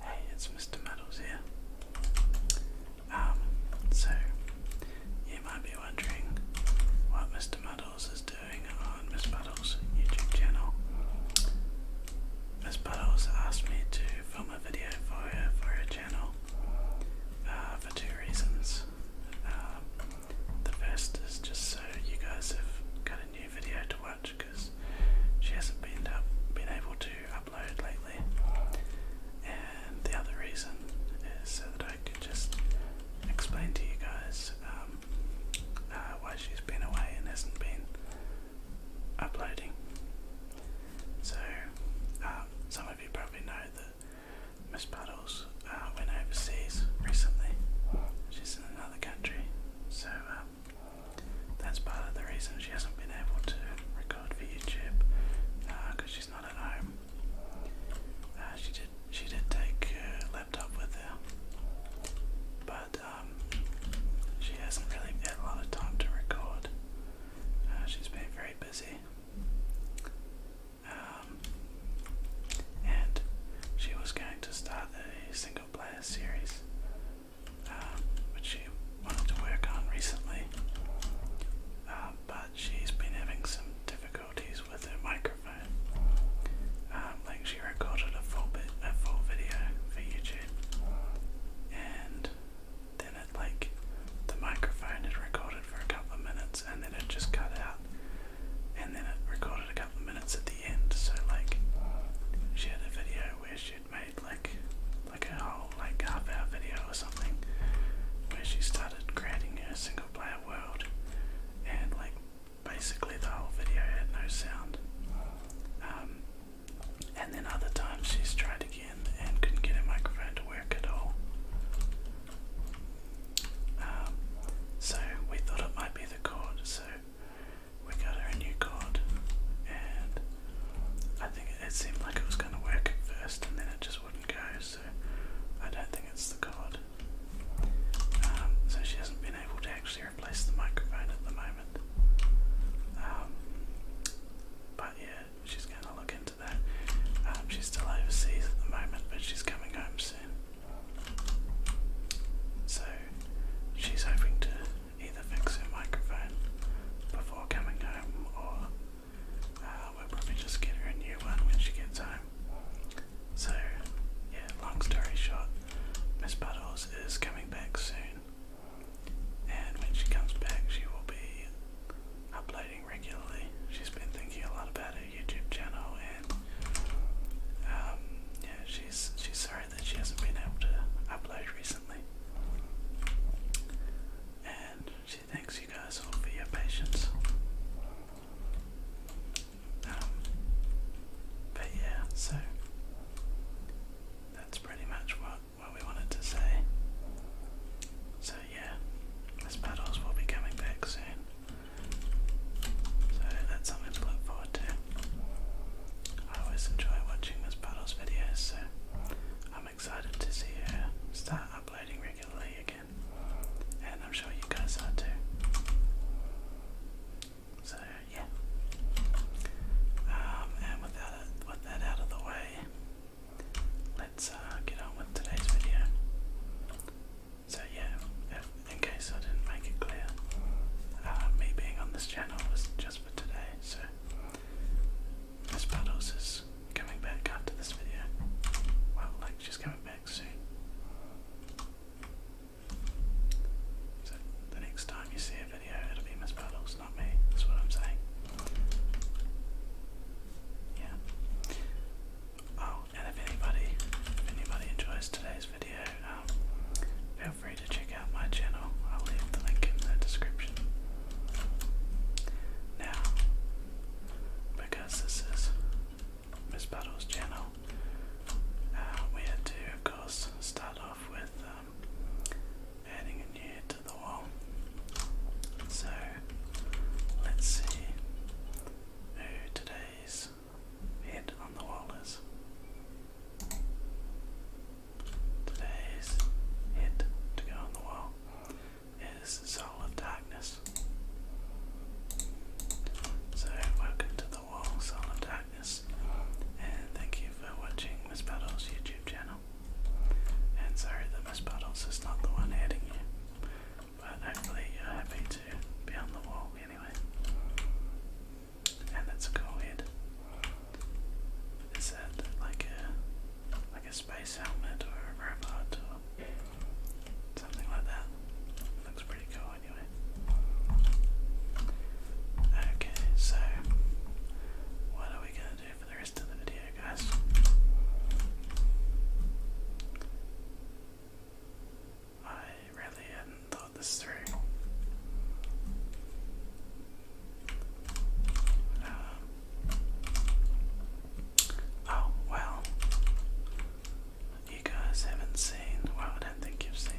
Hey, it's Mr. Muddles here. Um, so you might be wondering what Mr. Muddles is doing on Miss Muddles' YouTube channel. Miss Muddles asked me to film a video for her for her channel uh, for two reasons. Uh, the first is just so you guys have got a new video to watch because she hasn't been able to upload lately. And the other reason is so that I could just explain to you guys um, uh, why she's been away and hasn't been uploading. So uh, some of you probably know that Miss Puddles uh, went overseas recently. She's in another country, so um, that's part of the reason she hasn't been able to record for YouTube because uh, she's not at home. Uh, she did she did take her laptop with her, but um, she hasn't really had a lot of time to record. Uh, she's been very busy. Um, and she was going to start the single player series um, which she wanted to work on recently, um, but she's been having some difficulties with her microphone. Um, like she recorded a full bit, a full video for YouTube, and then like the microphone had recorded for a couple of minutes, and then it just cut out, and then it recorded a couple of minutes at the end. So like she had a video where she'd made made like like a whole like half hour video or something where she started creating her single player world and like basically the whole video had no sound. Um, and then other times she's tried again and couldn't get her microphone to work at all. Um, so we thought it might be the cord, so we got her a new card, and I think it, seemed like it was going to work at first, and then it just wouldn't go, so I don't think it's the card. Um, so she hasn't been able to actually replace the microphone at the moment. Um, but yeah, she's going to look into that. Um, she's still overseas at the moment, but she's coming home soon. So she's hoping to either fix her microphone before coming home or uh, we'll probably just get her a new one when she gets home. So, yeah, long story short, Miss Puddles is coming back soon, and when she comes back, she will be uploading regularly. She's been thinking a lot about her YouTube channel, and um, yeah, she's she's sorry that she hasn't been able to upload recently. And she thanks you guys all for your patience. Um, but yeah, so that's pretty much what, what we wanted to say. So yeah, this battles will be coming back soon. So that's something to look forward to. I always enjoy watching Miss Puddle's videos, so I'm excited to see her start uploading regularly again. And I'm sure you guys are too. So yeah. Um, and without it, that out of the way, let's uh, get on with today's video. So yeah, if, in I didn't make it clear, uh, me being on this channel was just for today. So Miss Puddles is coming back after this video. Well, like she's coming back soon. So the next time you see a video, it'll be Miss Puddles, not me. That's what I'm saying. Yeah. Oh, and if anybody, if anybody enjoys today's video, um, feel free to check out my channel. I'll leave the link in the description. Now, because this is Miss Battle's channel, uh, we had to, of course, start off with um, adding a new to the wall. So, let's see who today's head on the wall is. Today's hit to go on the wall is Soul Darkness. So, welcome to the wall, Soul Darkness, and thank you for watching Miss Battle's YouTube channel. And sorry that Miss Battles is not the one adding you, but hopefully you're happy to be on the wall anyway. And that's a cool head. Is that like a like a space helmet or a robot or something like that? Looks pretty cool anyway. Okay, so what are we gonna do for the rest of the video, guys? I really hadn't thought this through. Um, oh, well, you guys haven't seen, well, I don't think you've seen,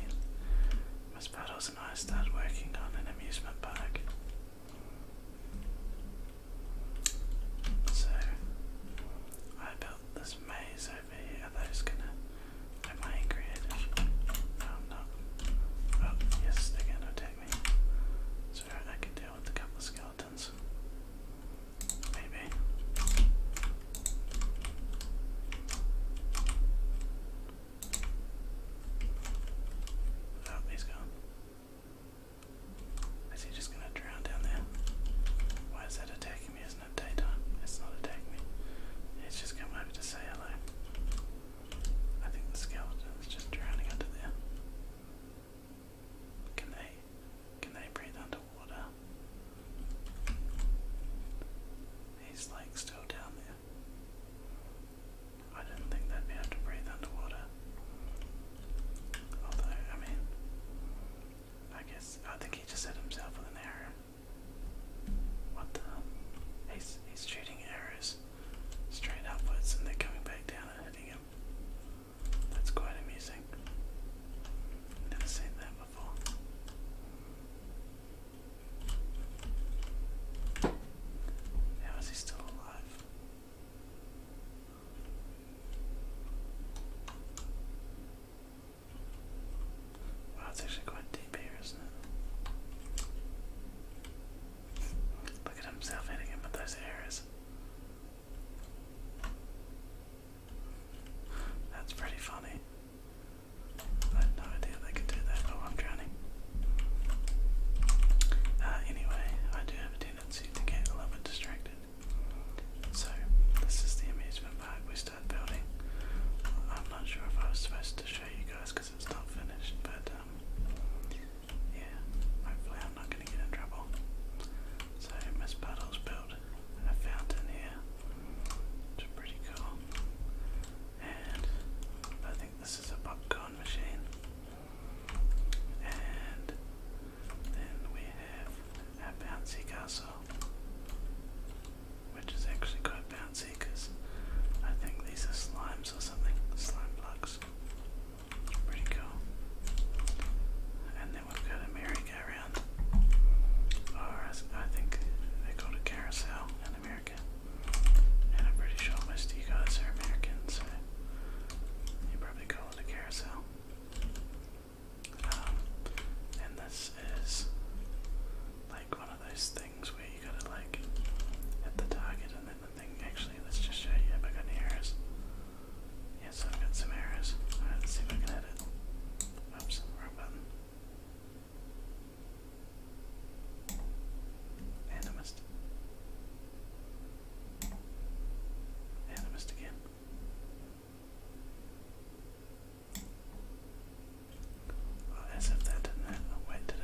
Miss Puddles and I started working on an amusement park. So, I built this maze over here. Are gonna. Am I creative? No, i Oh, yes, they're attack me. So I could deal with a couple of skeletons. Maybe. Oh, he gone. Is he just gonna drown down there? Why is that attacking me? Isn't it daytime? It's not attacking me. It's just come over to say hello. I think the skeleton's just drowning under there. Can they can they breathe underwater? He's like still down there. I didn't think they'd be able to breathe underwater. Although, I mean, I guess I think he just hit himself with an arrow. What the? He's he's shooting arrows straight upwards and they're coming back down and hitting him. That's quite amusing. Never seen that before. How is he still alive? Wow, it's actually quite deep here, isn't it? Look at himself hitting him with those arrows. That's pretty funny. I had no idea they could do that. Oh, I'm drowning. Uh, anyway, I do have a tendency to get a little bit distracted. So, this is the amusement park we started building. I'm not sure if I was supposed to show you guys because it's not finished, but um, yeah, hopefully I'm not going to get in trouble. So Miss Puddle's built a fountain here, which is pretty cool. And I think this is a popcorn machine. And then we have a bouncy castle, which is actually quite bouncy because I think these are slimes or something, slime blocks. Pretty cool. And then we've got a merry-go-round. Or oh, I think they call it carousel in America. And I'm pretty sure most of you guys are Americans, so you probably call it a carousel. Um, and this is like one of those things where you gotta like hit the target and then Actually, let's just show you if I got any errors. Yes, I've got some errors. let's see if I can edit. Oops, wrong button. And I again. Well, as if that didn't hit. wait, did it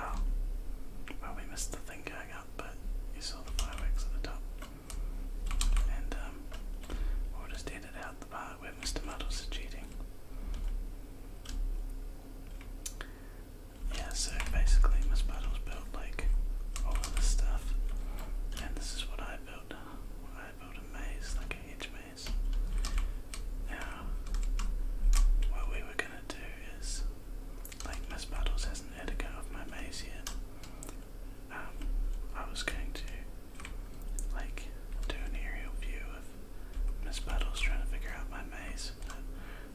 Oh. Well, we missed the thing going up, but you saw the fireworks at the top. And, um, just edit out the part where Mr. Muddles cheating. Yeah, so basically, Miss Muddles built, like, all of this stuff. And this is what I built. I built a maze, like a hedge maze. Now, what we were gonna do is like, Miss Battles has an Edgar of my maze here. Um, I was going to, like, do an aerial view of Miss Battles trying to figure out my maze,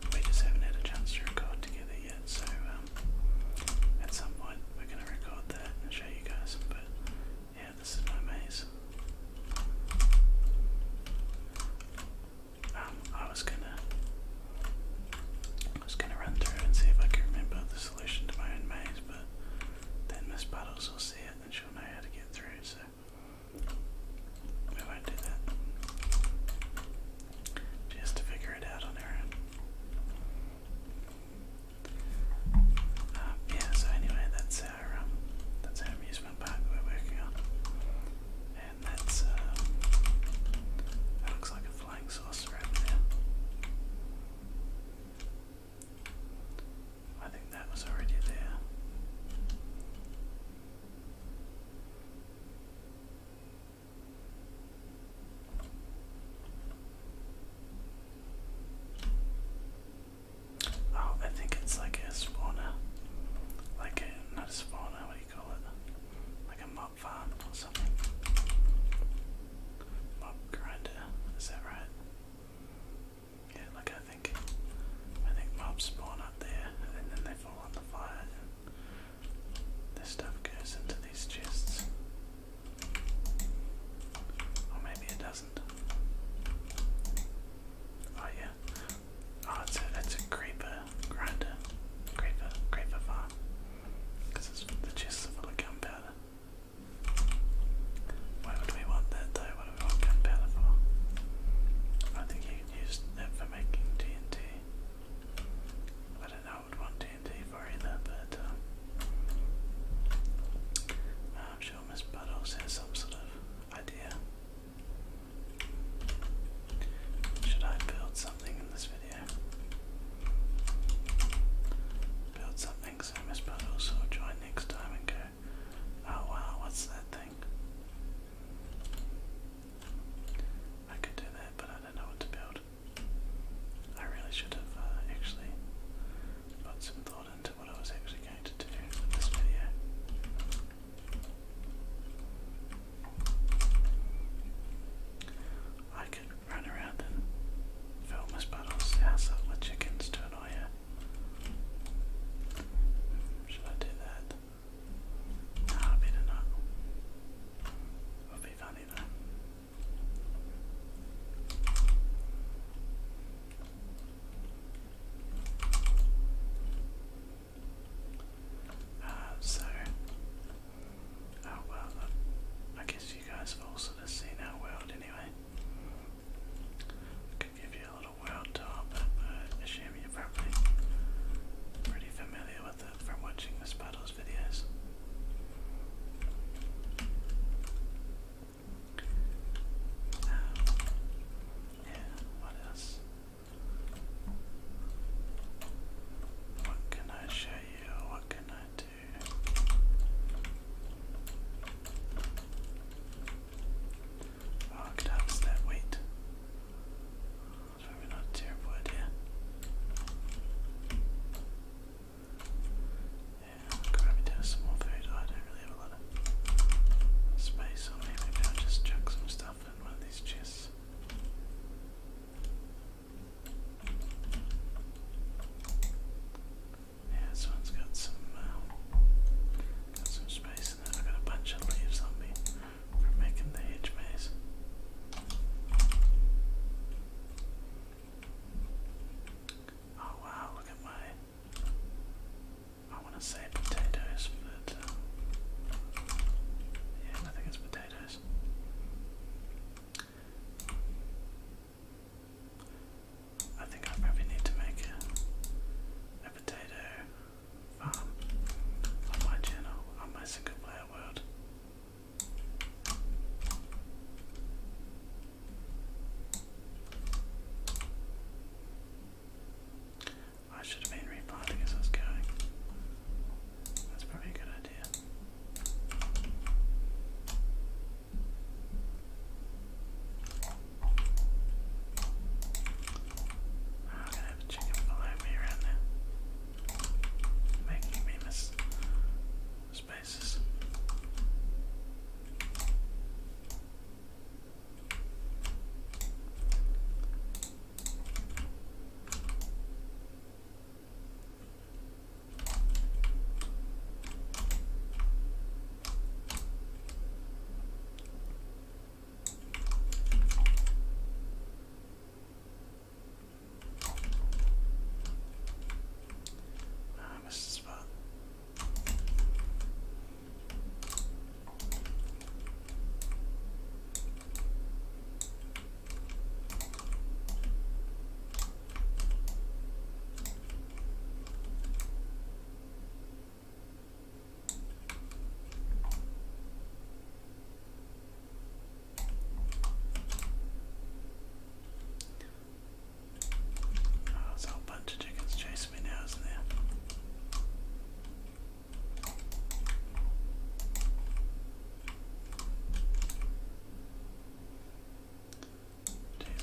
but we just haven't had a chance to record together yet, so, um, at some point we're going to record that and show you guys, but, yeah, this is my maze. Um, I was gonna, was gonna run through and see if I could remember the solution to my own maze, but then Miss Puddles will see it and she'll know how to get through. So we won't do that. She to figure it out on her own. Um, yeah, so anyway, that's our um, that's our amusement park we're working on, that's, uh, looks like a flying saucer over there. I think that was already there. Oh, I think it's like a spawner. Like a, not a spawner, call it? Like a mob farm or something. Mob grinder, is that right? Yeah, like I think I think mobs spawn up there and then they fall on the fire and this stuff goes into these chests. Or maybe it doesn't. Oh yeah. Oh, it's it's a creeper grinder, creeper, creeper farm, because the chests are full of gunpowder. Why would we want that though? What do we want for? I think you could use that for making TNT. I don't know I would want TNT for either, but uh, I'm sure Miss Buttles has some sort of idea. Should I build something in this video? Build something, so Miss Puddles will join next time and go, oh wow, what's that thing? I could do that, but I don't know what to build. I really should have uh, actually put some thought into what I was actually going to do with this video. I could run around and fill my bottles, house up my chickens to annoy you. Should I do that? No, better not. would be funny though. Uh, so, oh well, uh, I guess you guys have all sort of seen our world anyway. could give you a little world tour, but you're probably pretty familiar with it from watching the Spuddles videos. Um, yeah, what else? What can I show you? What can I do? Oh, I could probably not a terrible idea. Yeah, grab me some more food. I don't really have a lot of space on me. Maybe I'll just chuck some stuff in one of these chests. Yeah, this one's got some uh, got some space in it. i got a bunch of leaves on me for making the hedge maze. Oh wow, look at my I want to say potatoes, um, yeah, I think it's potatoes. I think I probably need to make a potato farm on my channel, on my single player world. I should have been replanting as I was going. That's probably a good idea. Ah, I'm gonna have a chicken below me around there. Making me miss spaces. Ah, I missed the spot. Oh, there's a whole bunch of chickens chasing me now, isn't there? Jeez,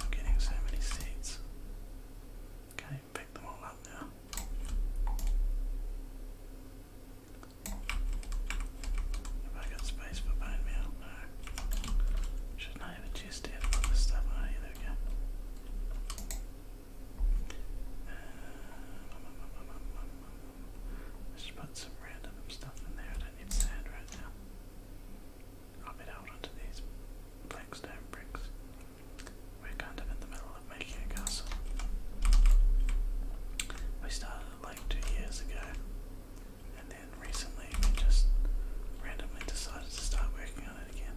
I'm getting so many seeds. Can't even pick them all up now. Have I got space for bone meal? No. Shouldn't I have a chest for this stuff? Oh, yeah, there Let's uh, put some random stuff in there. I need sand right now. I'll be held onto these black bricks. We're kind of in the middle of making a castle. We started like two years ago, and then recently we just randomly decided to start working on it again.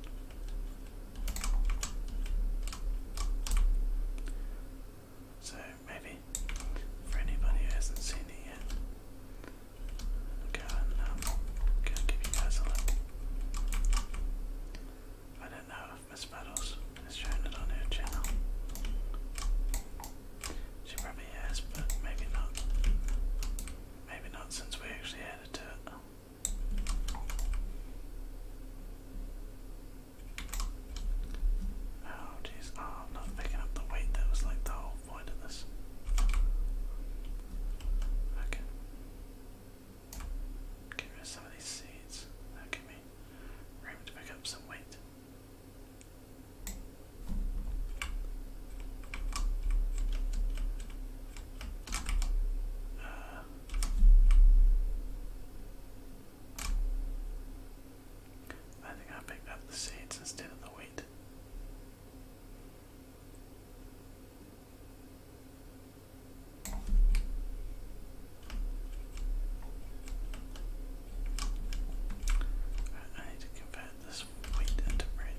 So maybe for anybody who hasn't seen it yet, go and go give you guys a little. I don't know if Miss Battles has shown it on her channel. She probably has, but maybe not. Maybe not since we actually added it. Oh jeez, oh, I'm not picking up the weight, that was like the whole point of this. Okay. Get rid some of these seeds. that me room to pick up some weight. Uh, I think I picked up the seeds instead of the wheat. I need to convert this wheat into bread.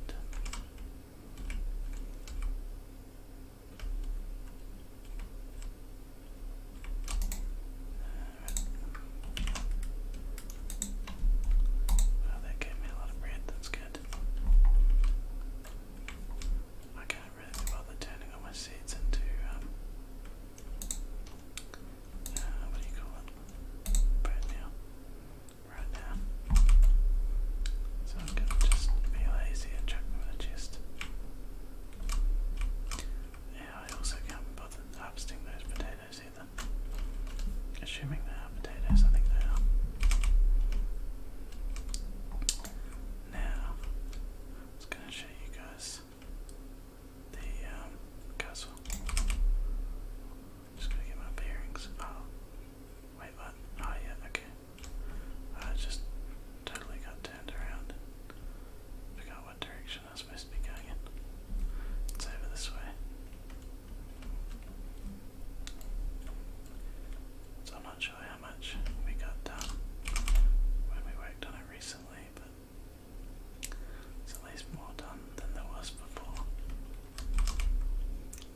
Wow, that gave me a lot of bread, that's good. I can't really be turning all my seeds into, um, uh, what do you call it? Bread now. Right now. So I'm gonna just be lazy and chuck them chest. Yeah, I also can't bother harvesting those potatoes either. Assuming they are potatoes, I think they are. Now, I was going to show you guys the um, castle. Just going to get my bearings. Oh, wait, what? Oh, yeah, okay. I uh, just totally got turned around. Forgot what direction I was supposed to be going It's over this way. So I'm not sure how much we got done when we worked on it recently, but it's at least more done than there was before. Oh,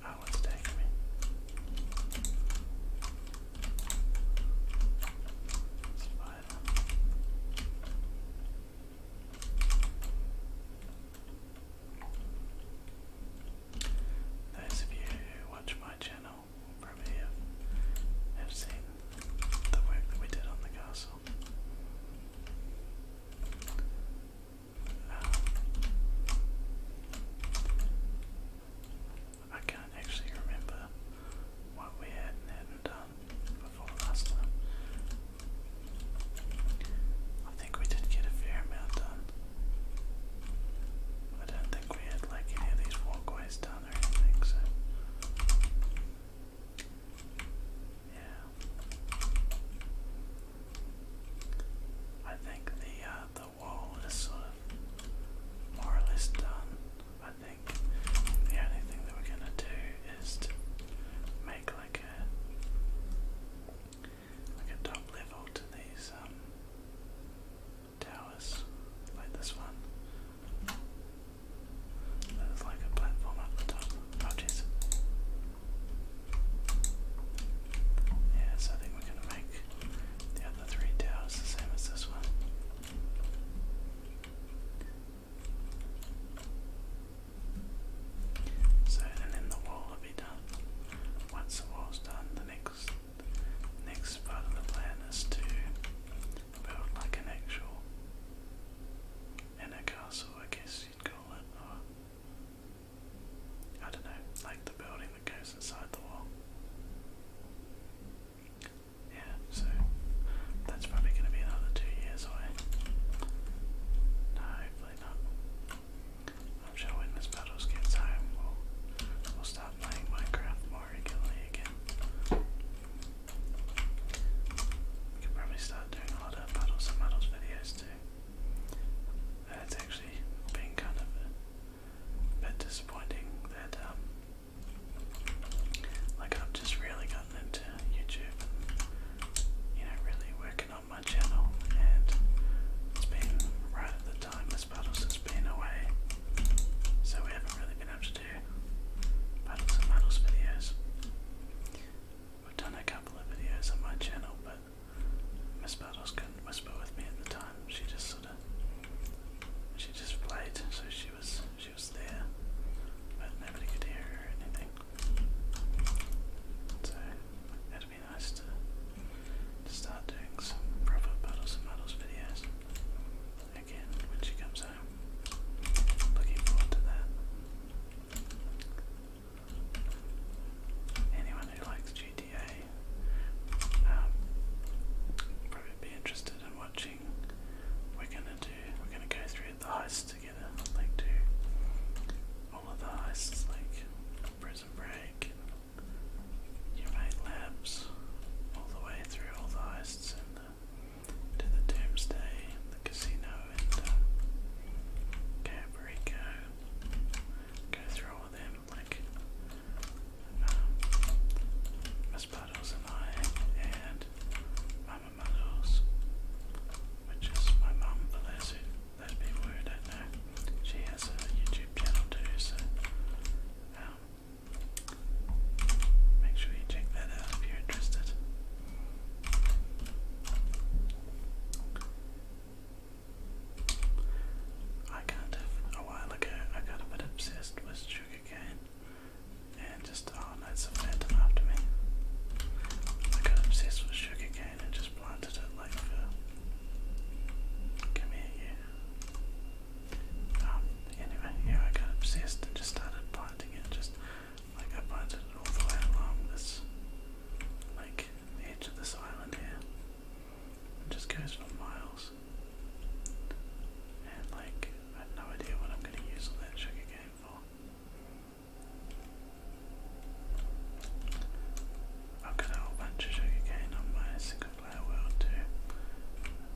ah, it's taking me. It's far those of you who watch my channel probably have, have seen the work that we did on the castle. Um, I can't actually remember what we had not done um, before last time. I think we did get a fair amount done. I don't think we had like any of these walkways done or anything, so yeah. I think the uh, the wall is sort of more or less done think the only thing that we're gonna do is to make like a like a top level to these um, towers like this one. There's like a platform up the top. Oh jeez. Yeah, so I think we're gonna make the other three towers the same as this one. So then the wall will be done. Once the wall's done, the next next part of the plan is to build like an actual and a castle, I guess you'd call it, or I don't know, like the building that goes inside the wall. Yeah, so that's probably going to be another two years away. No, hopefully not. I'm sure when Miss Battles gets home, we'll, we'll start playing Minecraft more regularly again. We could probably start doing a lot of Battles and Muddles videos too. It's actually been kind of a bit disappointing that um, like I've just really gotten into YouTube you know really working on my channel and it's been right at the time as Puddles has been away. So we haven't really been able to do Puddles and Muddles videos. We've done a couple of videos on my channel but Miss Puddles couldn't whisper with me at the time. She just sorta she just played, so she she was there, but nobody could hear her or anything. So it'd be nice to start doing some proper puddles and muddles videos again when she comes home. Looking forward to that. Anyone who likes GTA um, probably be interested in what we're gonna do. We're gonna go through the heists together. like do all of the heists, like Prison Break, and Labs, all the way through all the heists and the, the Doomsday, the casino, and Caprico. Go through all of them, like um, Espadilles and I and Mama Malos, which is my mum for those, people who don't know. She has a YouTube channel too, so um, make sure you check that out if you're interested. I kind a while ago, I got a bit obsessed with sugarcane and just oh no, a phantom after me. I got obsessed with sugarcane and just planted it like come here you. Um, anyway, yeah, I got obsessed and just started planting it. Just like I planted it all the way along this, like edge of this island here. It just goes for miles. And like I have no idea what I'm going to use all that Shack again for. I've got a whole bunch of Shack again on my single player world too.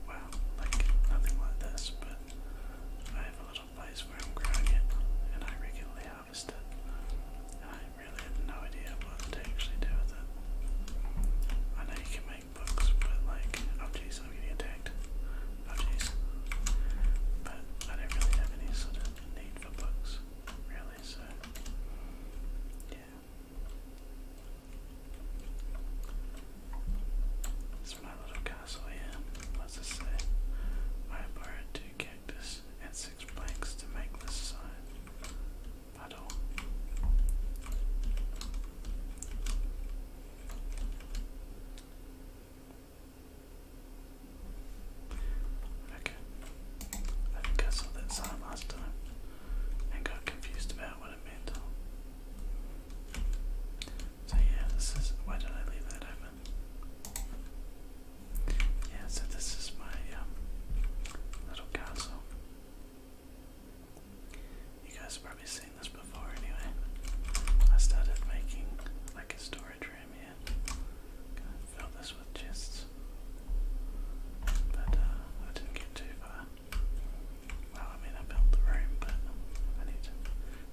Well, like nothing like this, but I have a little place where I'm growing it and I regularly harvest it. I really have no idea what to actually do with it. I know you can books, but like, oh jeez, I'm getting attacked. Oh jeez. But I didn't really have any sort of need for books, really, so yeah. It's my little castle here. What's this say? I borrowed two cactus and six planks to make this sign. Puddle. Okay. I think saw that sign last time and got confused about what it meant. So yeah, this is why did I leave that open? Yeah, so this is my um, little castle. You guys have probably seen this before anyway. I started making like a storage room here. going this with chests. But uh, I didn't get too far. Well, I mean, I built the room, but I need to,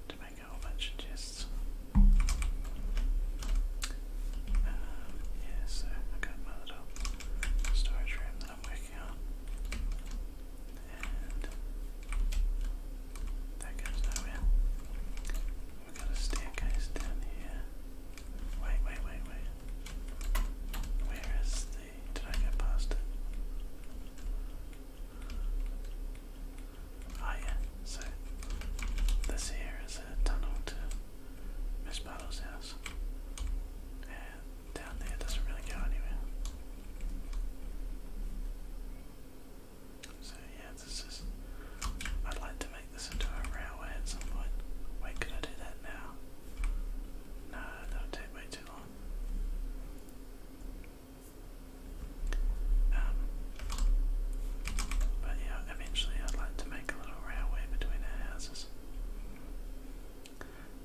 to make a whole bunch chests. Um, yeah, so I got my little storage room that I'm working on that goes nowhere. We've got a staircase down here. Wait, wait, wait, wait. Where is the. Did I go past it? Oh, yeah. So, this here is a tunnel to Miss Bartle's house. And down there doesn't really go anywhere. So yeah, this is. I'd like to make this into a railway at some point. Wait, could I do that now? No, that would take way too long. Um, but yeah, eventually I'd like to make a little railway between our houses.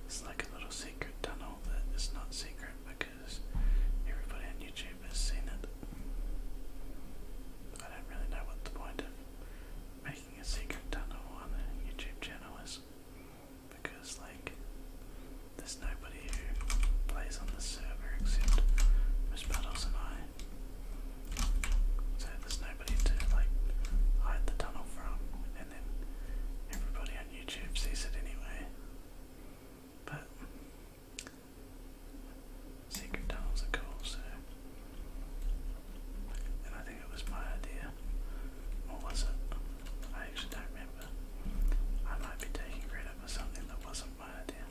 It's like a little secret tunnel that is not secret because because everybody on YouTube has seen it. I don't really know what the point of making a secret tunnel on a YouTube channel is because, like, there's nobody who plays on the server except Miss Puddles and I. So there's nobody to, like, hide the tunnel from, and then everybody on YouTube sees it anyway. But secret tunnels are cool, so and I think it was my idea. Or was it? I actually don't remember. I might be taking credit for something that wasn't my idea.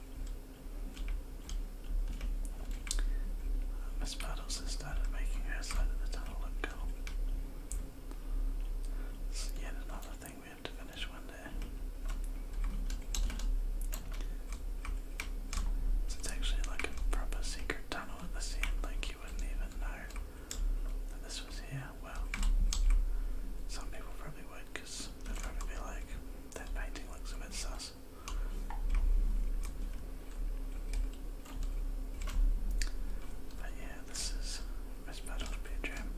Miss Puddles has started making her side of the tunnel look cool. It's yet another thing it's actually like a proper secret tunnel at the end, like you wouldn't even know that this was here. Well, some people probably would they'd probably be like, that painting looks a bit sus. But yeah, this is Miss Battle's bedroom.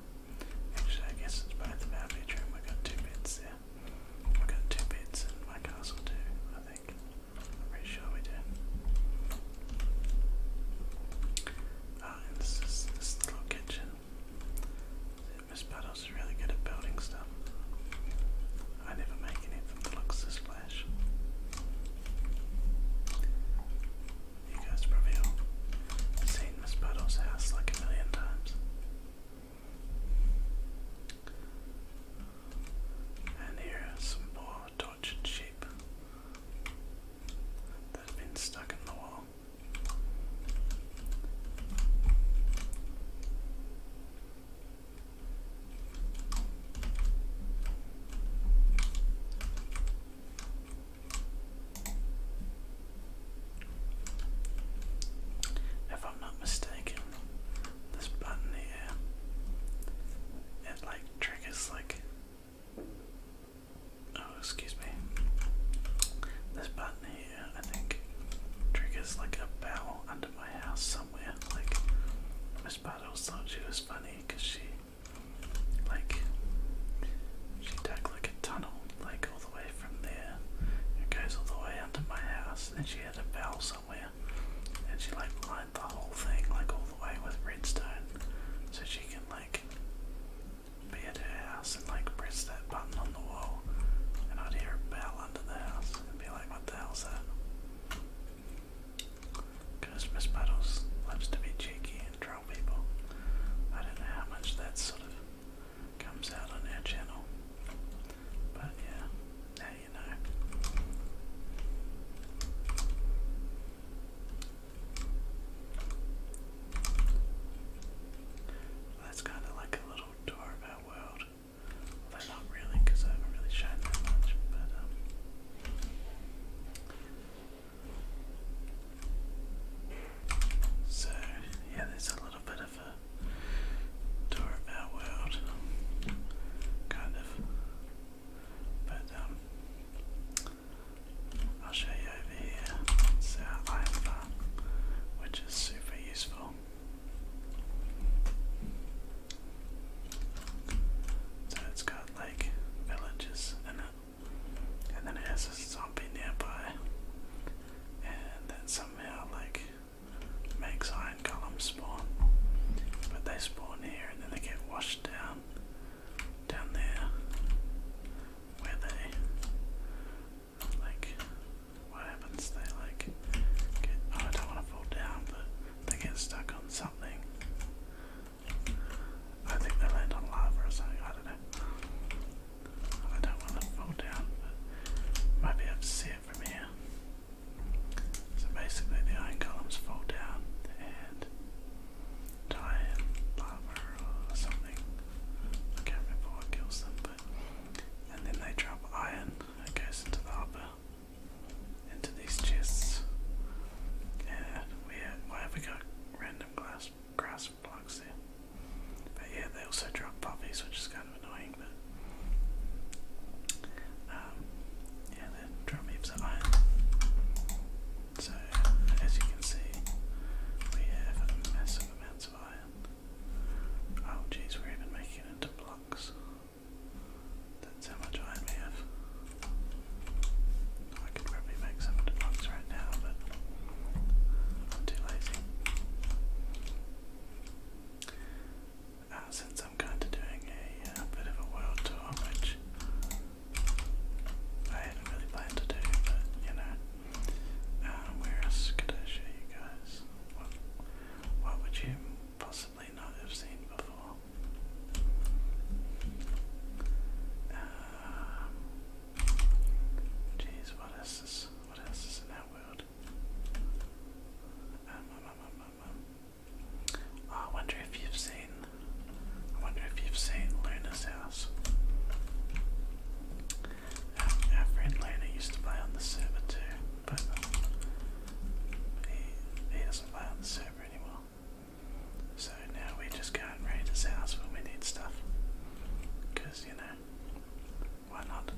Actually, I guess it's both of our We've got two beds there. We've got two beds in my castle too, I think. I'm pretty sure we do. Oh, this is this little kitchen. Miss Puddles really good at building stuff. I never make anything that looks this flash. You guys probably all seen Miss Puddle's house like a million times. And here are some more tortured sheep that have been stuck in the wall. If I'm not mistaken, this button here, it like triggers like. Oh, excuse me. This button here, I think, triggers like a bell under my house somewhere. Like, Miss Battles thought she was funny because she, like, she dug like a tunnel, like back all the way from there. It goes all the way under my house, and she had a bell somewhere, and she like lined the whole thing like all the way with redstone, so she can like be at her house and like press that button on the wall, and I'd hear a bell under the house and be like, "What the hell's that?" Christmas Puddles loves to be cheeky and people. I don't know how much that sort of comes out on our channel. But yeah, now you know. that's kind of like a little tour of our world. Although not really, because I haven't really shown that much. But um, so, yeah, there's a little bit of a tour of our world, kind of. But, um, I'll show you over here. It's our iron which is super useful. So, it's got like villages in and then it has a zombie nearby, and then somehow like makes iron columns spawn. But they spawn here, and then they get washed down, down there, where they like. What happens? They like get. Oh, I don't want to fall down, but they get stuck on something. I think they land on lava or something. I don't know. I don't want to fall down, but might be able to see it from here. So basically, the iron columns fall down and die lava or something. I can't remember what kills them, but. And then they drop iron, it goes into the hopper, into these chests. And we have we got random glass grass blocks there. But yeah, they also drop poppies, which is kind of annoying, but um, yeah, they drop heaps of iron. So, as you can see, we have massive amounts of iron. Oh, geez, we're even making it into blocks. That's how much iron we have. I could probably make some into right now, but I'm too lazy. Uh, since I'm kind of doing a uh, bit of a world tour, which I hadn't really planned to do, but you know, um, where else could I show you guys? What, would you possibly not have seen before? Um, Jeez, what else is what else is in that world? Um, um, um, oh, I wonder if you've seen I wonder if you've seen Luna's house. our friend Luna used to play on the server too, but he, he doesn't play on the server anymore. So now we just go and raid his house when we need stuff. Because, you know, why not?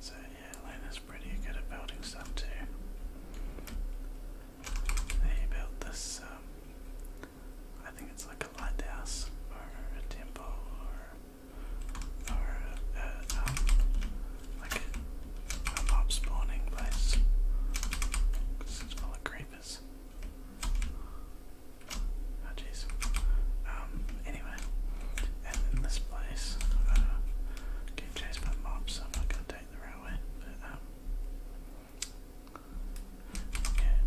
So yeah, Elena's pretty good at building stuff too. He built this, um, I think it's like a lighthouse or a temple or uh, um, like a, mob spawning place. Cause it's full of creepers. Oh jeez. Um, anyway, and in this place, uh, get chased mobs, so I'm not gonna take the railway, but um,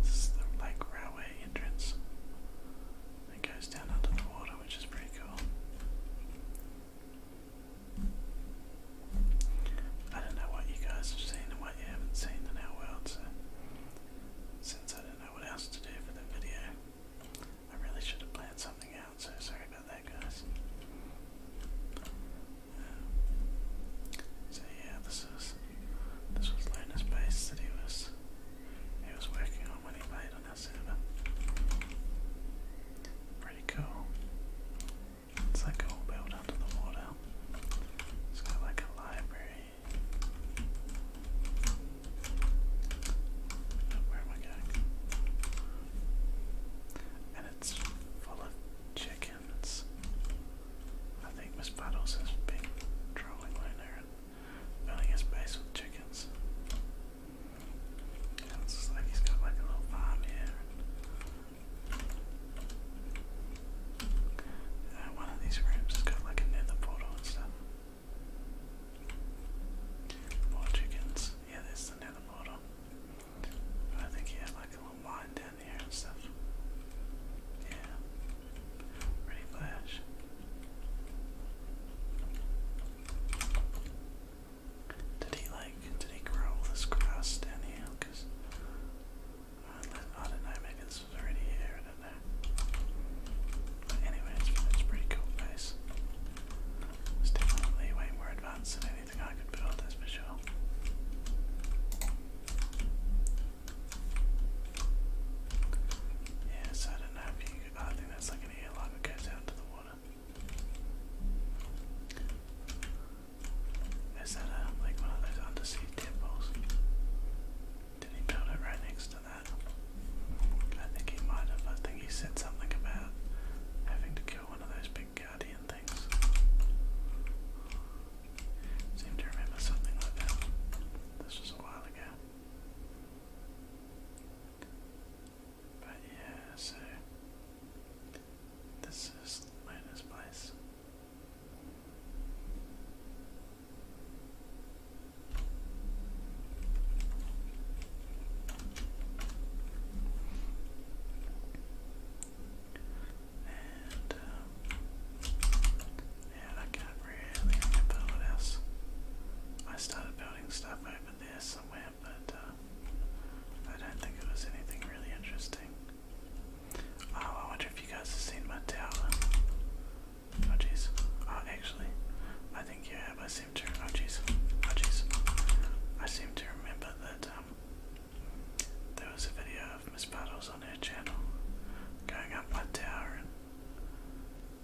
it's like railway entrance. It goes down under the water, which is pretty cool. I don't know what you guys have seen and what you haven't seen in our world, so since I don't know what else to do for the video, I really should have planned something out, so sorry about that, guys. Um, so yeah, this is this was Luna's base that he was he was working on when he played on our server. Pretty cool. It's like a whole build under the water. It's got like a library. where am I going? And it's full chickens. I think Miss Puddles has been drawing Luna and filling his space with chickens. And it's like he's got like a little farm here. one of these rooms has got like a portal and stuff. More chickens. Yeah, there's another portal. I think he had like a little mine down here and stuff. Yeah. Ready flash. Did he like? Did he grow this grass down here? Cause I don't know. Maybe already here. I don't know. But anyway, it's, pretty cool place. definitely way more advanced than anything I could build. That's for sure. Yeah, I don't know you oh, I think that's like an airlock that goes out to the water. Is that um, like one of those undersea temples? Did he build it right next to that? I think he might have. I think he said something about having to kill one of those big guardian things. Seem to remember something like that. This was a while ago. But yeah, so this is Luna's place. And um, and I can't really remember what else. I started building stuff over there somewhere, but uh, I don't think it was anything really interesting. Oh, I wonder if you guys have seen my tower. Oh jeez. Oh, actually, I think you have. I seem to. Oh jeez. Oh jeez. I seem to remember that um, there was a video of Miss Puddles on her channel going up my tower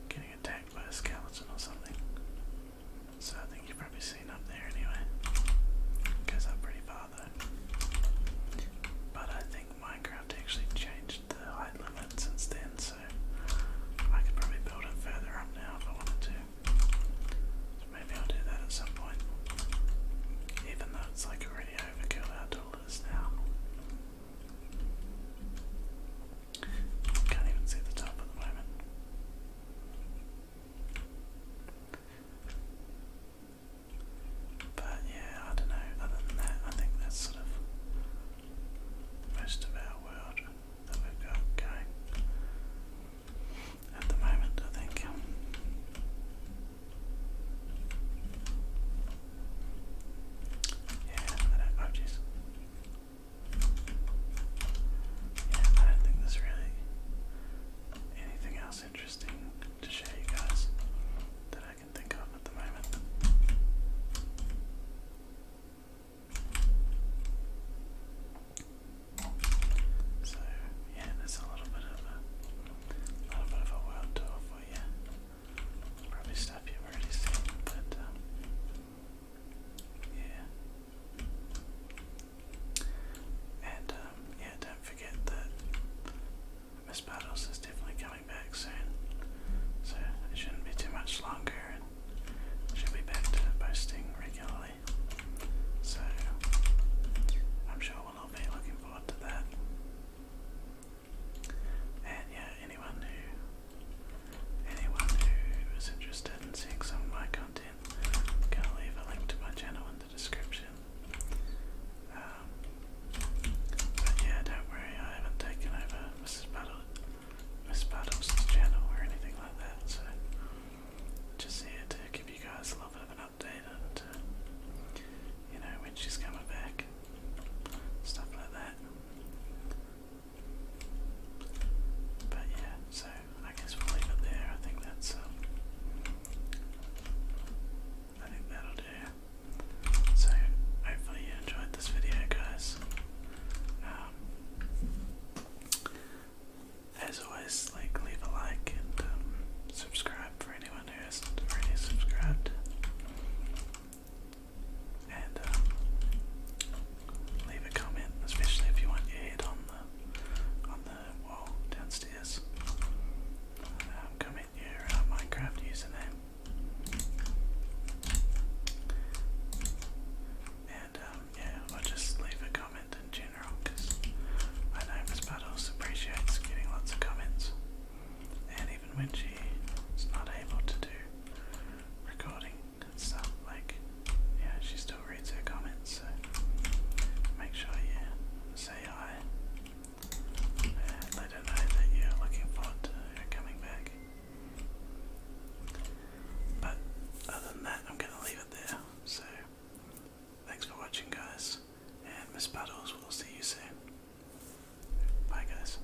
getting attacked by a skeleton or something. So I think you've probably seen up there anyway. goes up pretty far though. But I think Minecraft actually changed the height limit since then, so I could probably build it further up now if I wanted to. maybe I'll do that at some point. Even though it's like already overkill how tall now. Can't even see the top at the moment. But yeah, I don't know. Other than that, I think that's sort of most of our world that we've got going at the moment, I think. Yeah, I don't, oh jeez. Yeah, I don't think there's really anything else interesting to show you guys that I can think of at the moment. So yeah, there's a little bit of a little bit of a world tour for you. Probably stuff you've already but um, yeah. And um, yeah, don't forget that Miss Battles is definitely coming back soon. So it shouldn't be too much longer she'll be back posting regularly. So I'm sure we'll all be looking forward to that. And yeah, anyone who Anyone who is interested in seeing some of my content, i leave a link to my channel in the description. Um, but yeah, don't worry, I haven't taken over Mrs. Buddle, Miss Buddle's channel or anything like that, so just here to give you guys a little bit of an update and, uh, you know, when she's coming back, stuff like that. But yeah, so I guess we'll leave it there. I think that's um, I think that'll do. So hopefully you enjoyed this video, guys. Um, as always, like leave a like and um, subscribe for anyone who hasn't already subscribed and um, leave a comment, especially if you want your head on the on the wall downstairs. Uh, comment your uh, Minecraft username, and um, yeah, just leave a comment in general because I know Miss appreciates getting lots of comments. And even when she is not able to do recording, and stuff. Like, yeah, she still reads her comments, so make sure you say hi. And let her know that you're looking forward to her coming back. But other than that, I'm going to leave it there. So, thanks for watching, guys. And Miss we will see you soon. Bye, guys.